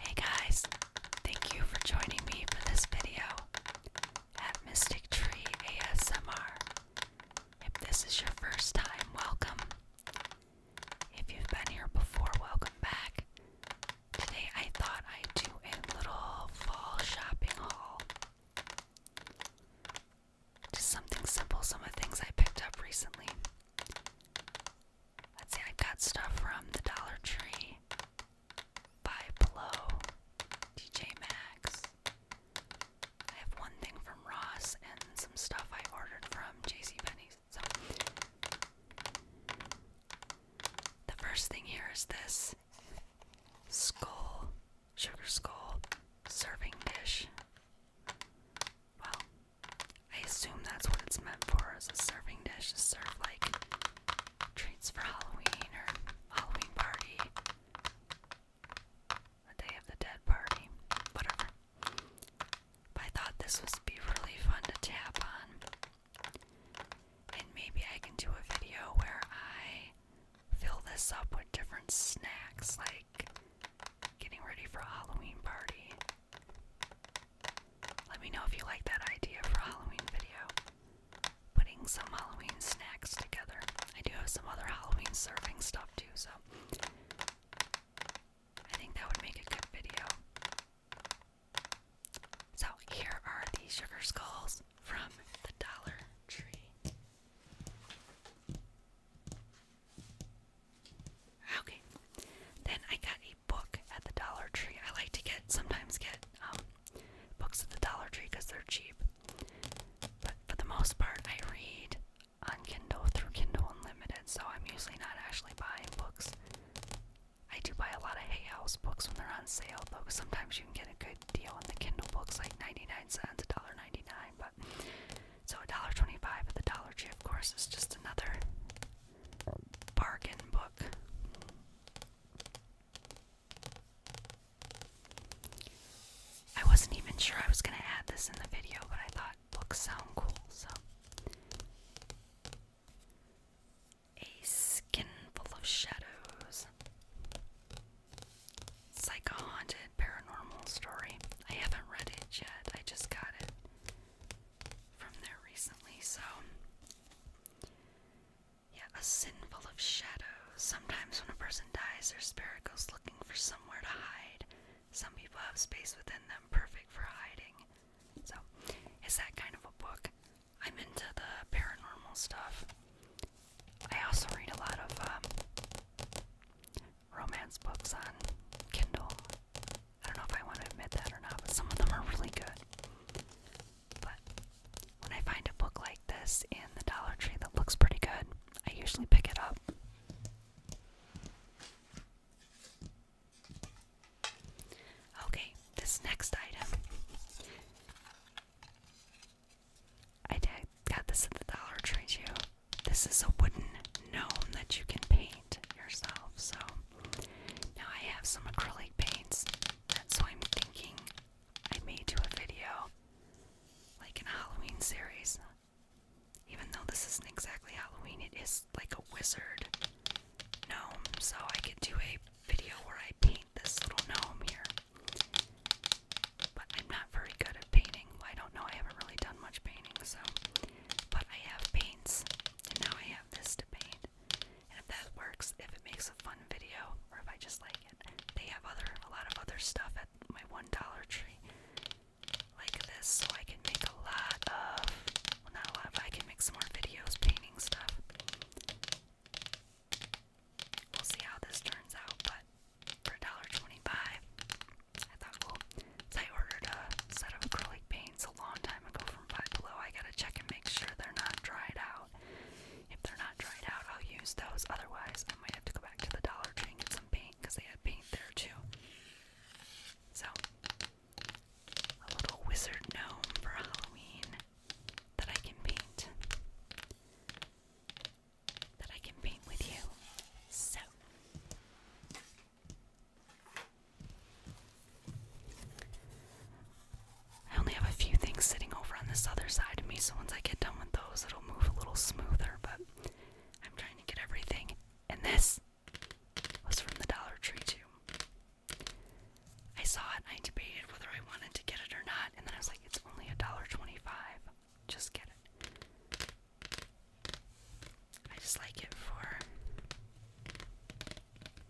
Hey guys, thank you for joining me for this video at Mystic Tree ASMR. If this is your first time, welcome. If you've been here before, welcome back. Today I thought I'd do a little fall shopping haul. Just something simple, some of the things I picked up recently. Let's see, I got stuff from the Dollar Tree by Blow, DJ Max. I have one thing from Ross and some stuff I ordered from J C So, the first thing here is this skull, sugar skull serving dish. Well, I assume that's what it's meant for as a serving dish to serve like treats for Halloween or Halloween party. A Day of the Dead party. Whatever. But I thought this would be really fun to tap on. And maybe I can do a video where I fill this up with different snacks like getting ready for a Halloween party let me know if you like that idea for Halloween video. Putting some Halloween snacks together. I do have some other Halloween serving stuff too, so I think that would make a good video. So here are the sugar skulls from the Dollar Tree. Okay, then I got book at the Dollar Tree. I like to get sometimes get um, books at the Dollar Tree because they're cheap. But for the most part, I read on Kindle through Kindle Unlimited, so I'm usually not actually buying books. I do buy a lot of Hay House books when they're on sale, though. Cause sometimes you can get a good deal on the Kindle books, like 99 cents, a dollar ninety nine. But so a dollar twenty five at the Dollar Tree, of course, is just another bargain book. I wasn't even sure I was going to add this in the video, but I thought books sound cool, so. A skin full of shadows. It's like a haunted paranormal story. I haven't read it yet, I just got it from there recently, so yeah, a sin full of shadows. Sometimes when a person dies, their spirit goes looking for somewhere to hide. Some people have space within them perfect for hiding. So, it's that kind of a book. I'm into the paranormal stuff. I also read a lot of um, romance books on Kindle. I don't know if I want to admit that or not, but some of them are really good. But when I find a book like this in the Dollar Tree that looks pretty good, I usually pick it up. Okay, this next item. I got this at the Dollar Tree too. This is a wooden gnome that you can paint yourself, so now I have some acrylic paints, so I'm thinking I may do a video like a Halloween series. Even though this isn't exactly Halloween, it is like a wizard gnome, so I could do a video where I paint this little gnome here. But I'm not very good at painting. I don't know, I haven't really done much painting, so. But I have paints now I have this to paint. And if that works, if it makes a fun video, or if I just like it, they have other a lot of other stuff at my one dollar tree like this, so I can make a lot of well not a lot, but I can make some more videos painting stuff. We'll see how this turns out, but for $1.25, I thought, well, I ordered a set of acrylic paints a long time ago from Five I gotta check and make sure they're not dried out. If they're not dried out, I'll use those. Otherwise, I might have to go back to the Dollar Tree and some paint because they had paint there too. So, a little wizard gnome for Halloween that I can paint. That I can paint with you. So, I only have a few things sitting over on this other side of me, so once I get done with those, it'll move a little smoother. But I'm trying to get everything. And this was from the Dollar Tree, too. I saw it, I debated whether I wanted to get it or not, and then I was like, it's only $1.25. Just get it. I just like it for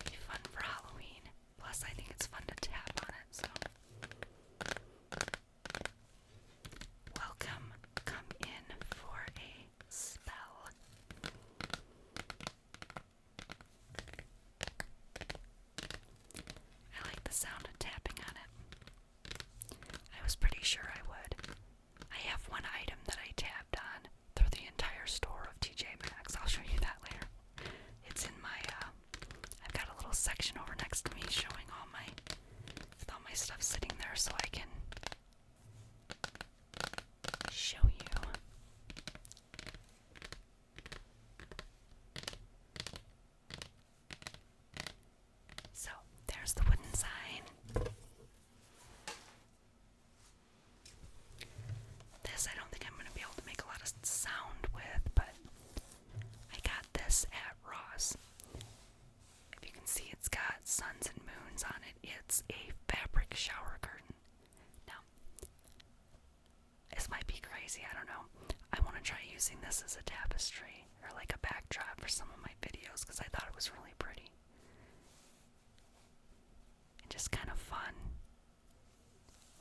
be fun for Halloween. Plus, I think it's fun to tap on it. So, welcome, come in for a spell. I like the sound of tapping on it. I was pretty sure I would. I have one item that I tapped on through the entire store of TJ Maxx. I'll show you that later. It's in my uh, I've got a little section over next to me showing all my all my stuff sitting there so I can show you. So there's the wooden sign. This I don't think I'm going to be able to make a lot of sound with, but I got this at Ross. If you can see, it's got suns and moons on it. It's a fabric shower curtain. Now, this might be crazy, I don't know. I want to try using this as a tapestry or like a backdrop for some of my videos because I thought it was really pretty and just kind of fun,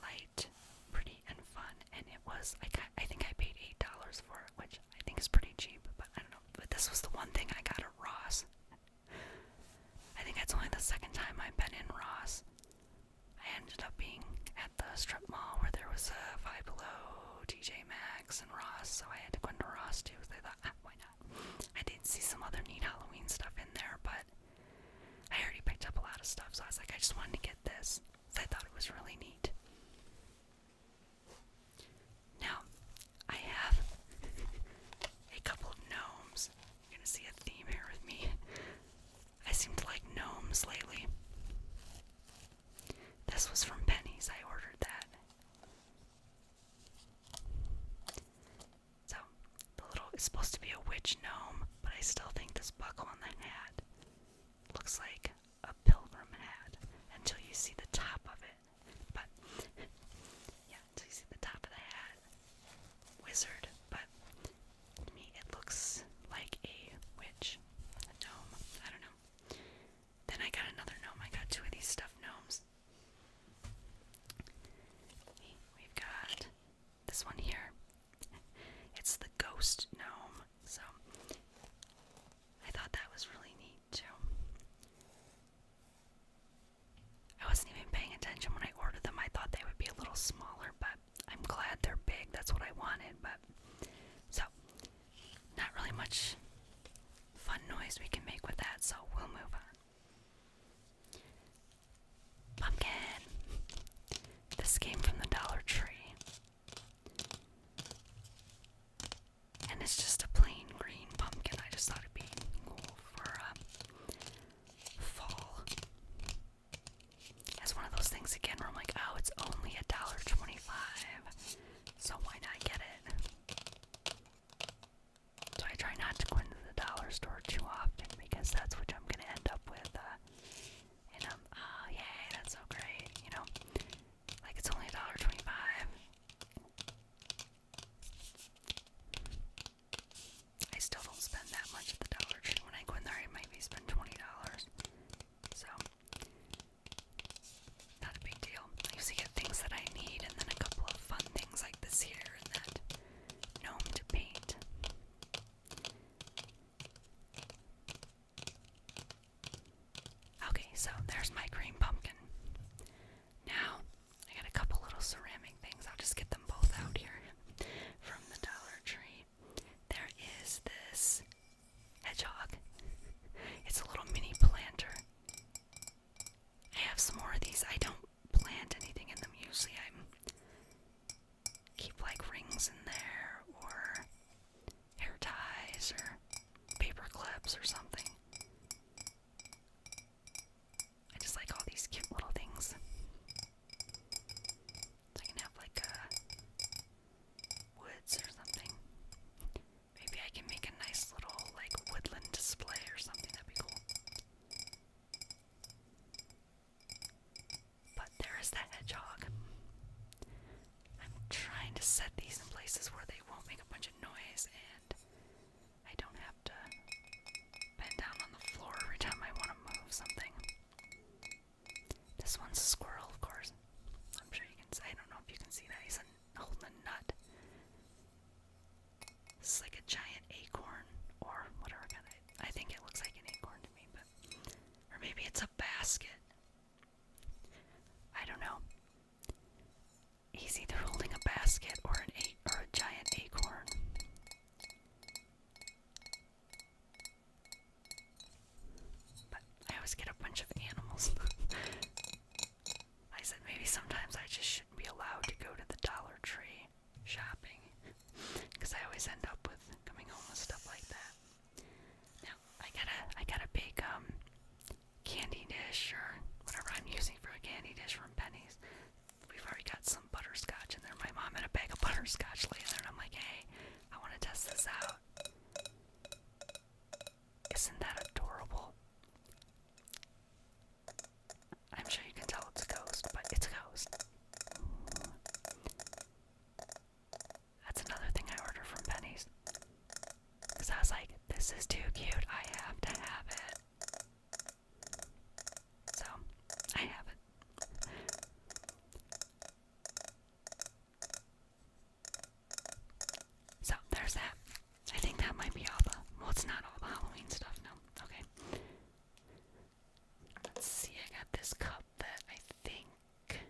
light, pretty, and fun. And it was I I think I paid eight dollars for it, which I think is pretty cheap. But I don't know. But this was the one thing I got at Ross. I think that's only the second time I've been in Ross. I ended up being at the strip mall where there was a Five Below, TJ Maxx, and Ross, so I had to go into Ross too. So I thought, ah, why not? I did see some other neat Halloween stuff in there, but I already picked up a lot of stuff, so I was like, I just wanted to get this. because I thought it was really neat. Now, I have a couple of gnomes. You're gonna see a theme here with me. I seem to like gnomes lately. This was from Penny's. I ordered that. So, the little it's supposed to be a witch gnome, but I still think this buckle on the hat looks like a pilgrim hat until you see the top of it. But yeah, until you see the top of the hat. Wizard, but to me it looks like a witch. gnome. I don't know. Then I got another gnome. I got two of these stuffed gnomes. We've got this one here. It's the ghost gnome. So I thought that was really neat too. I wasn't even paying attention when I ordered them. I thought they would be a little smaller, but I'm glad they're big. That's what I wanted, but so not really much fun noise we can make with that, so we'll move on. Pumpkin! This came from the Dollar Tree. And it's just a plain green pumpkin. I just thought it'd be cool for uh, fall. It's one of those things again where I'm like, oh, it's only a dollar twenty-five, so why not get it? So I try not to go into the dollar store too often because that's what I'm gonna end up with. Uh, and I'm, oh yay, that's so great, you know? Like it's only a dollar twenty-five. I still don't spend that much at the Dollar Tree. When I go in there, I maybe spend twenty dollars. So not a big deal. I usually get things that I need, and then a couple of fun things like this here and that. Gnome to paint. Okay, so there's my green pumpkin. Now, I got a couple little ceramic things. I'll just get them both out here from the Dollar Tree. There is this hedgehog, it's a little mini planter. I have some more of these. I don't plant anything in them. Usually I keep like rings in there or hair ties or paper clips or something. I just like all these cute little things. So I can have like uh, woods or something. Maybe I can make a nice little like woodland display or something. That'd be cool. But there is that hedgehog. I'm trying to set these in places where they won't make a bunch of noise and I don't have to bend down on the floor every time I want to move something. This one's a squirrel, of course. I'm sure you can see. I don't know if you can see that. He's holding a nut. It's like a giant acorn or whatever kind I think it looks like an acorn to me, but or maybe it's a basket. I don't know. He's either holding a basket or an a or a giant acorn. But I always get a bunch of animals. I said maybe sometimes I just shouldn't be allowed to go to the Dollar Tree shopping because I always end up with coming home with stuff like that. Now I got a I got a big um candy dish or whatever I'm using for a candy dish from Penny's. We've already got some butterscotch in there. My mom had a bag of butterscotch laying there, and I'm like, hey, I want to test this out. Isn't that adorable? I'm sure you can tell it's a ghost, but it's a ghost. That's another thing I ordered from Penny's. Because I was like, this is too cute, I have to have it. So, I have it. So, there's that. I think that might be all Well, it's not all Halloween stuff, no. Okay. Let's see, I got this cup that I think.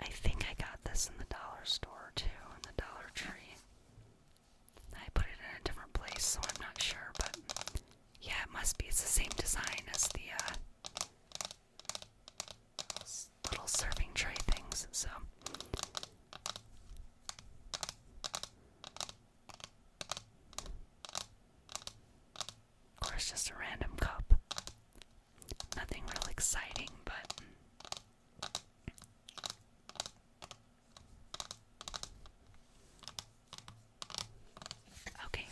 I think I got this in the dollar store too, in the Dollar Tree. I put it in a different place, so I'm not sure, but yeah, it must be. It's the same design as the uh, little serving tray things, so. Of course, just a random cup. Nothing real exciting, but. Okay,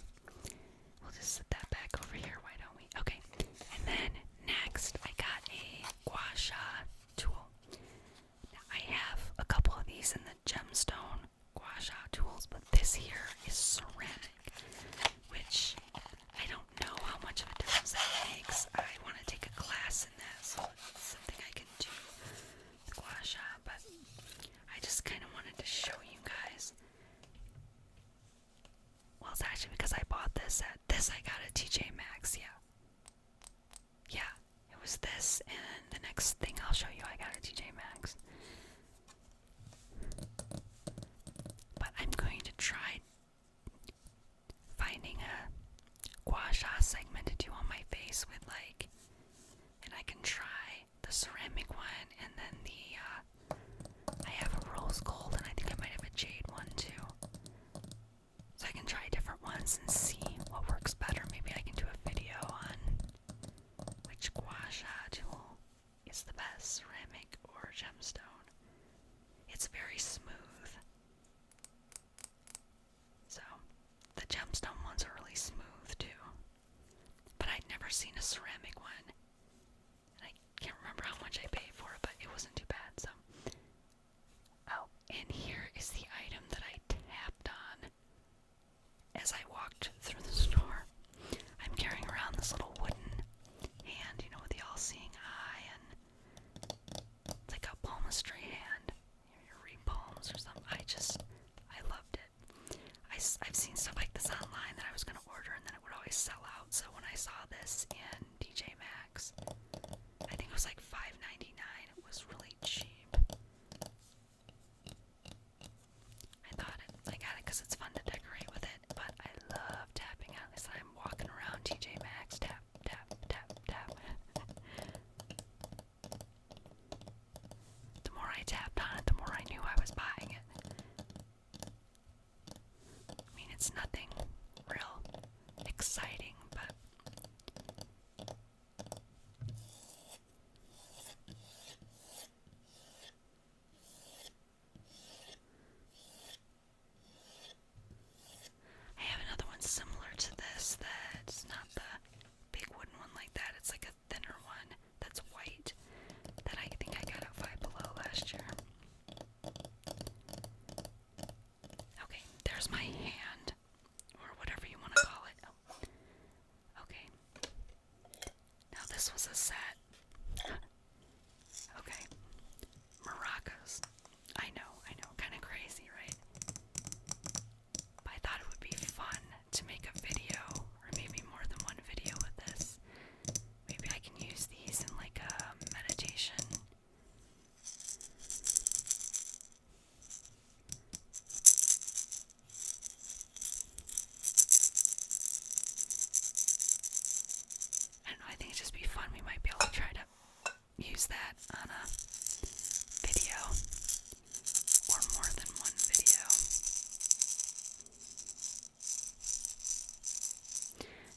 we'll just set that back over here, why don't we? Okay, and then next I got a gua tool. I have a couple of these in the gemstone gua sha tools, but this here is ceramic, which I don't know how much of a difference that makes. I want to take a class in that, so it's something I can do with gua sha, but I just kind of wanted to show you guys. Well, it's actually because I bought this at this I got at TJ Maxx, yeah yeah, it was this, and the next thing I'll show you, I got a TJ Maxx. But I'm going to try finding a gua sha segment to do on my face with like, and I can try the ceramic one, and then the uh, I have a rose gold, and I think I might have a jade one too. So I can try different ones and see what works better. Maybe I can do a video on which guasha tool is the best, ceramic or gemstone. It's very smooth. So the gemstone ones are really smooth too. But I'd never seen a ceramic one. I can't remember how much I paid for it, but it wasn't too bad, so Oh, and here is the item that I tapped on as I walked through the store, I'm carrying around this little wooden hand, you know, with the all seeing eye, and like a palmistry hand. You read or something. I just, I loved it. I, I've seen stuff like this online that I was going to order, and then it would always sell out. So when I saw this in DJ Max, I think it was like $5.99. It was really cheap. I got it because it's fun to decorate with it, but I love tapping on this. I'm walking around TJ Maxx, tap, tap, tap, tap. the more I tapped on it, the more I knew I was buying it. I mean, it's nothing real exciting, but I have another one similar to this that's not the big wooden one like that. It's like a thinner one that's white that I think I got at Five Below last year. Okay, there's my hand or whatever you want to call it. Oh. Okay. Now this was a set. okay. Maracas. I know, I know, kind of crazy, right? I thought it would be fun to make a video, or maybe more than one video with this. Maybe I can use these in like a meditation. I think it'd just be fun. We might be able to try to use that on a video or more than one video.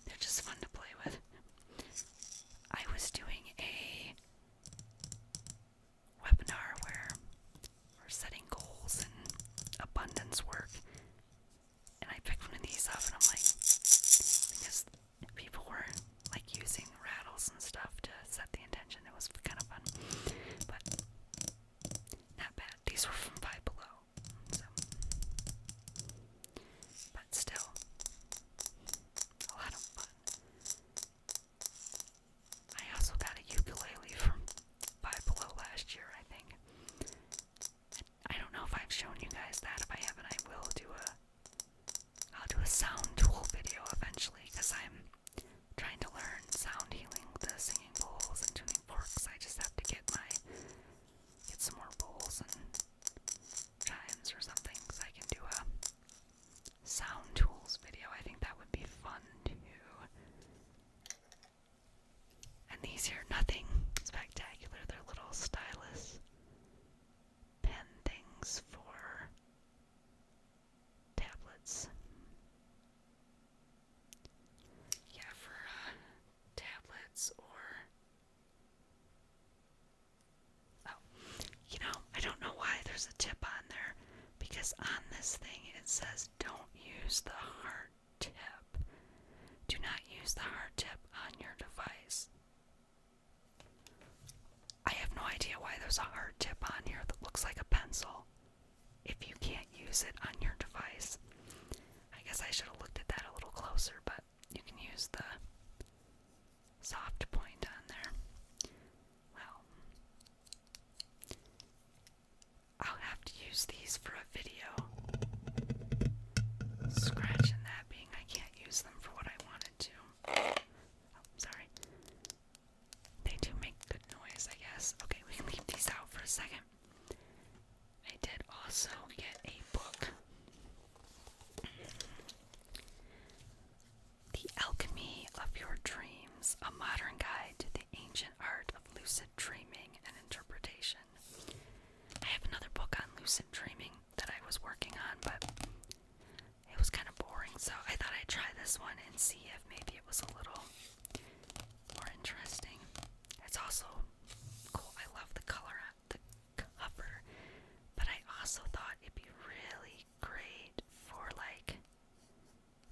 They're just fun to play with. I was doing a webinar where we're setting goals and abundance work. And I picked one of these up and I'm like, because people were like using rattles and stuff to set the intention. It was kind of fun. But not bad. These were from Five Below. So. But still, a lot of fun. I also got a ukulele from Five Below last year, I think. I don't know if I've shown you guys that. If I haven't, I will do a I'll do a sound tool video eventually because I'm trying to learn sound healing the singing bowls and tuning forks. I just have to get my get some more bowls and chimes or something so I can do a sound tools video. I think that would be fun too. And these here, nothing spectacular. They're little stylus pen things for tablets. Yeah, for uh, tablets or. Oh, you know, I don't know why there's a tip on there because on this thing it says don't use the hard tip. Do not use the hard tip on your device. I have no idea why there's a hard tip on here that looks like a pencil if you can't use it on your device. I guess I should have looked at that a little closer, but you can use the soft point on there. Well, I'll have to use these for a video. Scratch and that being I can't use them for what I wanted to. Oh, sorry. They do make good noise, I guess. Okay, we can leave these out for a second. I did also get a book. The Alchemy of Your Dreams A Modern Guide to the Ancient Art of Lucid Dreaming and Interpretation. I have another book on lucid dreaming that I was working on, but it was kind of boring, so I thought I'd try this one and see if maybe it was a little more interesting. It's also cool. I love the color on the cover, but I also thought it'd be really great for like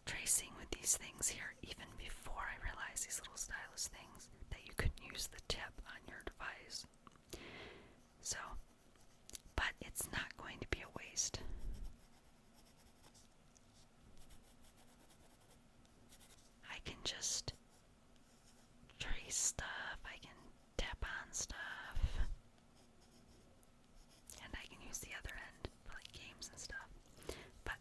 tracing with these things here even before I realized these little stylus things that you can use the tip on your device. So, but it's not going to be a waste. I can just trace stuff, I can tap on stuff. And I can use the other end for like games and stuff. But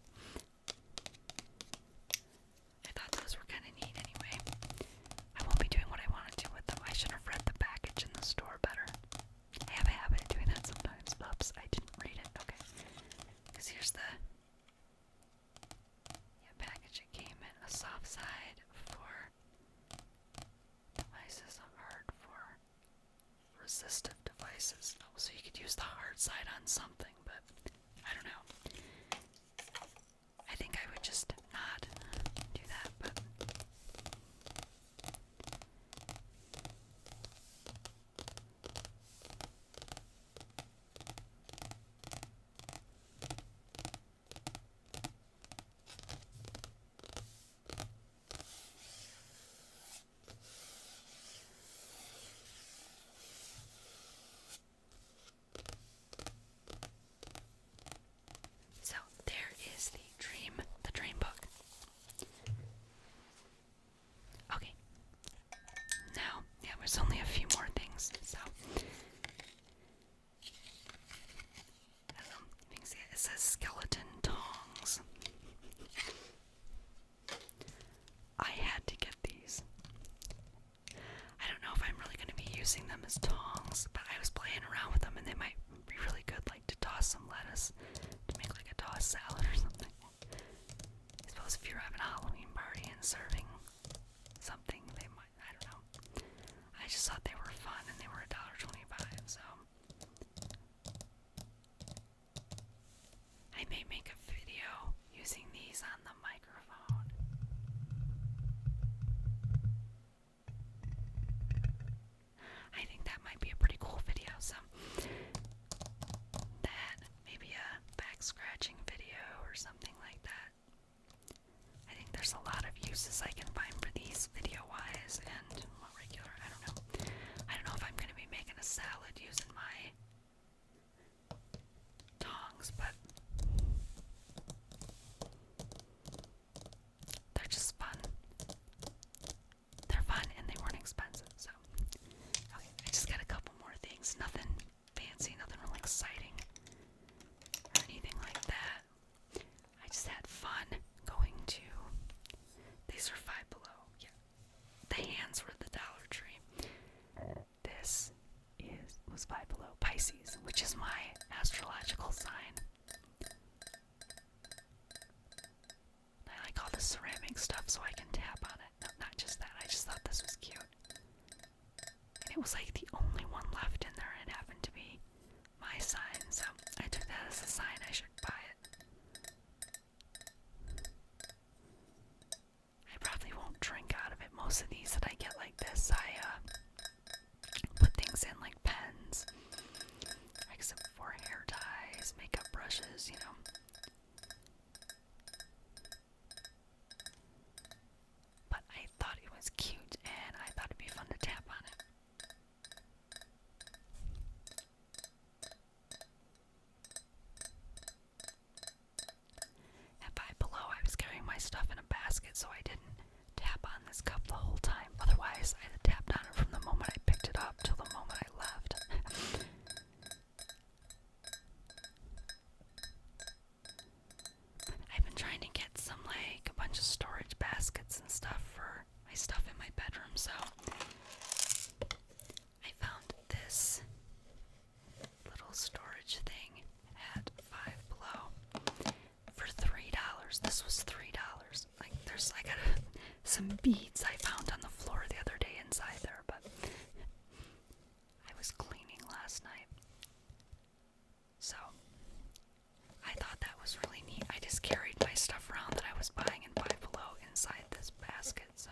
I thought those were kind of neat anyway. I won't be doing what I wanted to with them. I should have read the package in the store better. I have a habit of doing that sometimes. Oops, I didn't read it. Okay. Because here's the package it came in. A soft side for devices, a hard for resistive devices. so you could use the hard side on something, but I don't know. I think I would just not do that, but. So there is the dream, the dream book. Okay. Now, yeah, there's only a few more things, so it, says skeleton tongs. I had to get these. I don't know if I'm really going to be using them as tongs, but I was playing around with them and they might be really good, like to toss some lettuce to make like a toss salad or something. I suppose if you're having a Halloween party and serving something, they might. I don't know. I just thought they were fun and they were $1.25, so I may make a video using these on the microphone. I think that might be a pretty cool video. So that maybe a back scratching video or something like that. I think there's a lot of uses I can find for these video wise, and regular. I don't know. I don't know if I'm gonna be making a salad using my tongs, but they're just fun. They're fun and they weren't expensive, so I just got a couple more things. Nothing fancy, nothing really exciting anything like that. I just had fun going to. These are five below. Yeah. The hands were the Dollar Tree. This is was five below Pisces, which is my astrological sign. I like all the ceramic stuff so I can tap on it. not just that. I just thought this was cute. And it was like the only one left in there and it happened to be my sign. So I took that as a sign I should buy it. I probably won't drink out of it. Most of these that I get like this, I uh, put things in like pens, except for hair ties, makeup brushes, you know. But I thought it was cute and I thought it'd be fun to tap on it. And by below, I was carrying my stuff in a basket, so I didn't tap on this cup the whole time. Otherwise, I tapped on it from the moment I picked it up till the moment I left. I've been trying to get some, like, a bunch of storage baskets and stuff for my stuff in my bedroom, so I found this little storage thing at Five Below for three dollars. This was three dollars. Like there's like some beads I found on the floor the other day inside there, but I was cleaning last night, so I thought that was really neat. I just carried my stuff around that I was buying in Five Below inside this basket. So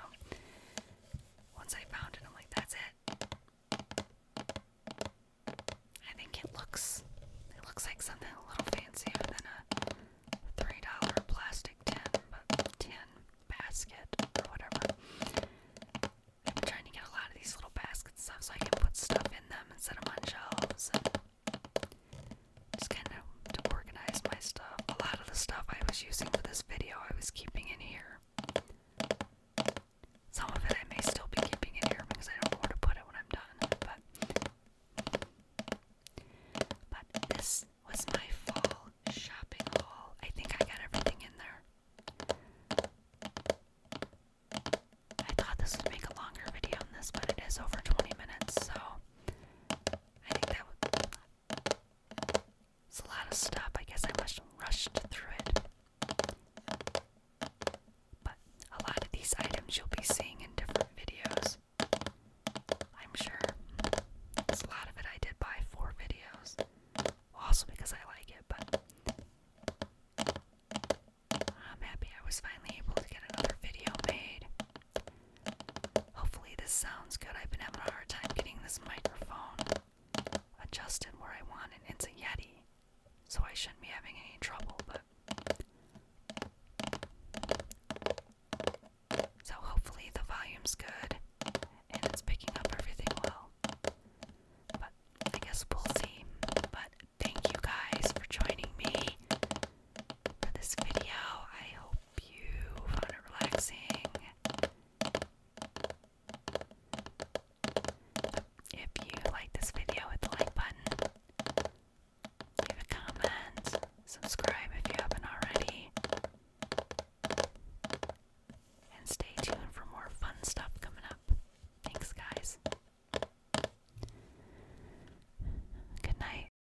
once I found it, I'm like, that's it. I think it looks it looks like something a little fancier than a three dollar plastic tin, but tin basket or whatever. I've been trying to get a lot of these little baskets stuff so I can put stuff in them and set them on shelves just kind of to organize my stuff. A lot of the stuff I was using for this video, I was keeping in here. Some of it I may still be keeping in here because I don't know where to put it when I'm done. But, this was my fall shopping haul. I think I got everything in there. I thought this would make a longer video on this, but it is over 20 minutes, so I It's a lot of stuff. I guess I must have rushed through it. But a lot of these items you'll be seeing in different videos. I'm sure. It's a lot of it I did buy for videos. Also because I like it, but I'm happy I was finally able to get another video made. Hopefully, this sounds good. I've been having a hard time getting this microphone adjusted where I want it. It's a Yeti, so I shouldn't be having any trouble, but. So, hopefully, the volume's good and it's picking up everything well. But I guess we'll see. But thank you guys for joining me for this video. I hope you found it relaxing. If you like this video, hit the like button, leave a comment, subscribe if you haven't already, and stay tuned for more fun stuff coming up. Thanks, guys. Good night.